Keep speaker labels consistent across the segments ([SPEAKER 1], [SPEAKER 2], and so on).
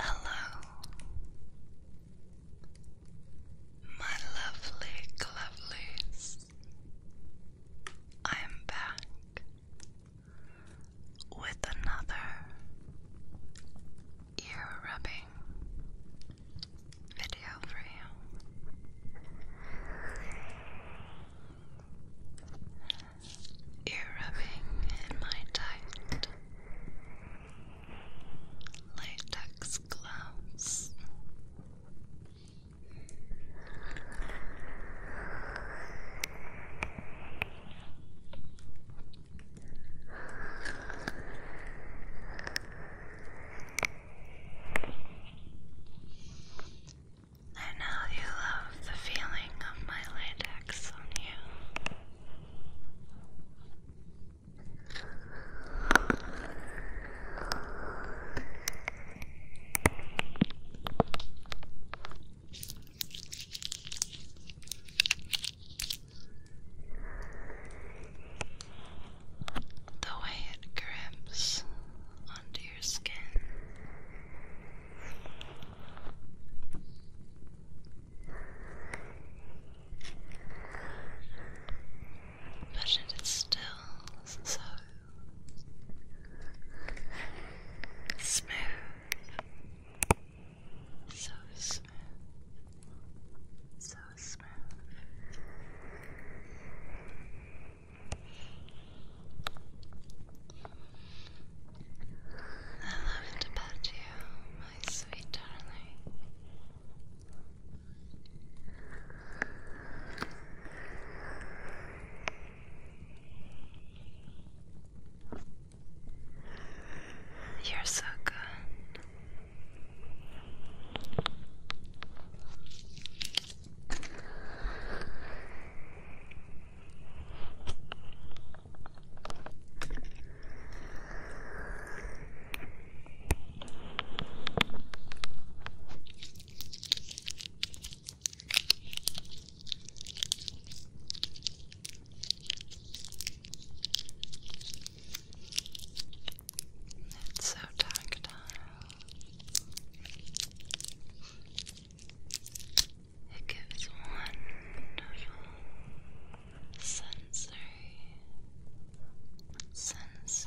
[SPEAKER 1] Hello, my lovely lovelies. I'm back with another ear rubbing video for you ear rubbing in my tight latex gloves. I know you love the feeling of my latex on you. The way it grips under your skin. Imagine it's still so smooth, so smooth, so smooth. I love it about you, my sweet darling. You're so good. It's so tactile. It gives wonderful sensory sensations.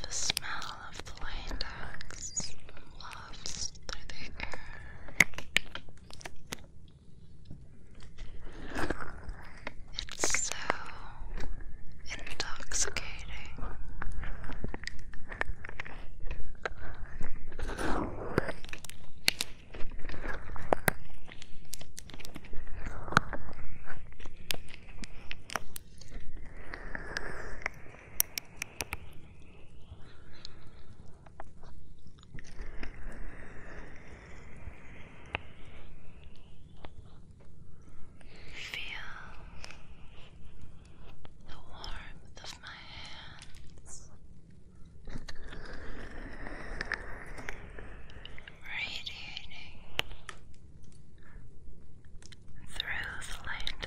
[SPEAKER 1] The smell of the latex wafts through the air. It's so intoxicating. Feel the warmth of my hands radiating through latex.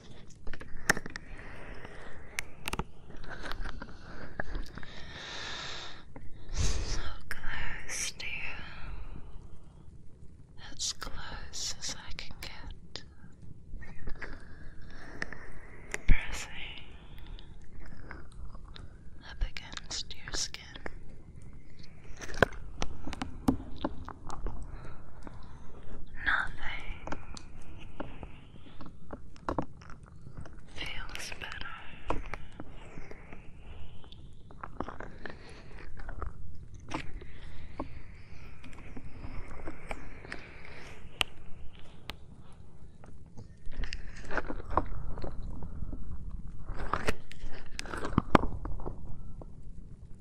[SPEAKER 1] So close to you, as close as I can get. Pressing up against your skin. Nothing feels better.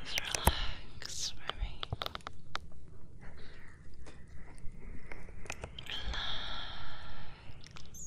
[SPEAKER 1] Just relax for me. Relax.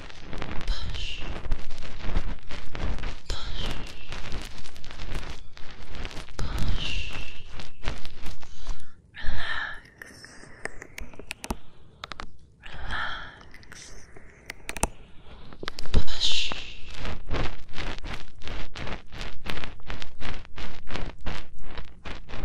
[SPEAKER 1] push, push, push, relax, relax, push. Push,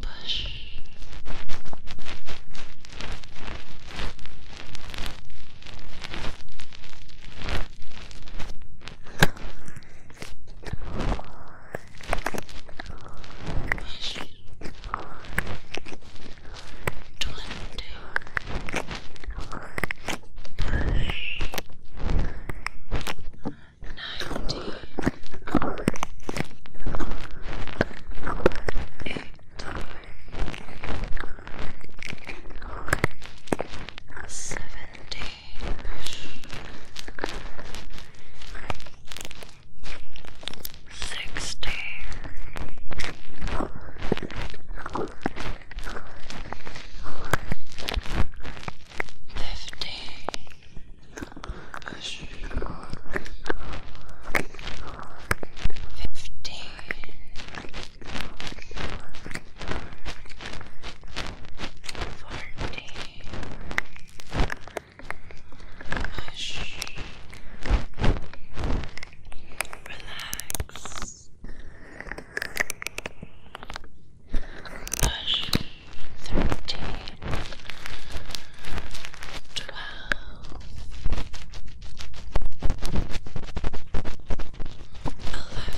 [SPEAKER 1] push. Push. Twenty. Push ninety eighty seventy sixty fifty Fifteen. Fourteen. Hush. Relax. Push thirteen, twelve, eleven,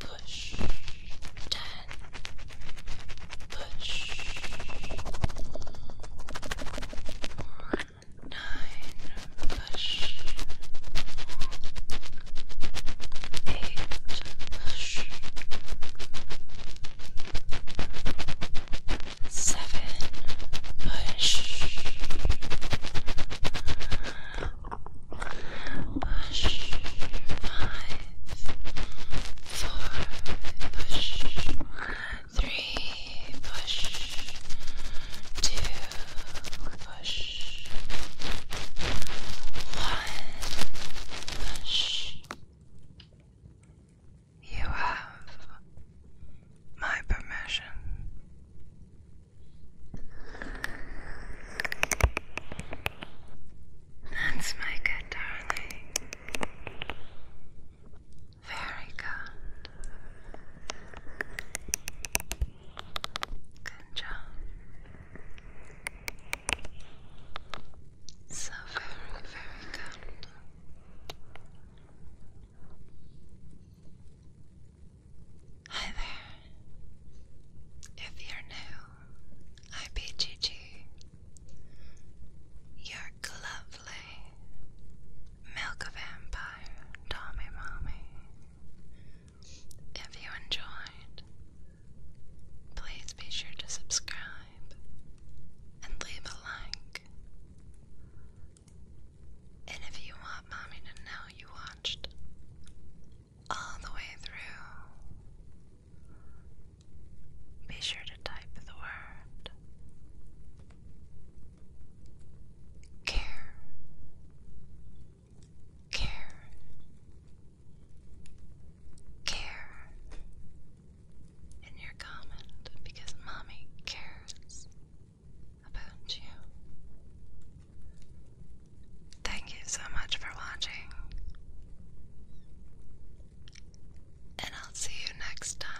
[SPEAKER 1] push ten, push nine, push eight. Seven push push five four push three push two push one push you have my permission. Let's make darling. Very good. Good job. So very, very good. Hi there. If you're new, I be Gigi. Your lovely milk of Tommy Mommy. If you enjoyed, Please be sure to subscribe and leave a like. And if you want mommy to know you watched all the way through, be sure to type the word care, care, care in your comment because mommy cares about you. Thank you so much for watching, and I'll see you next time.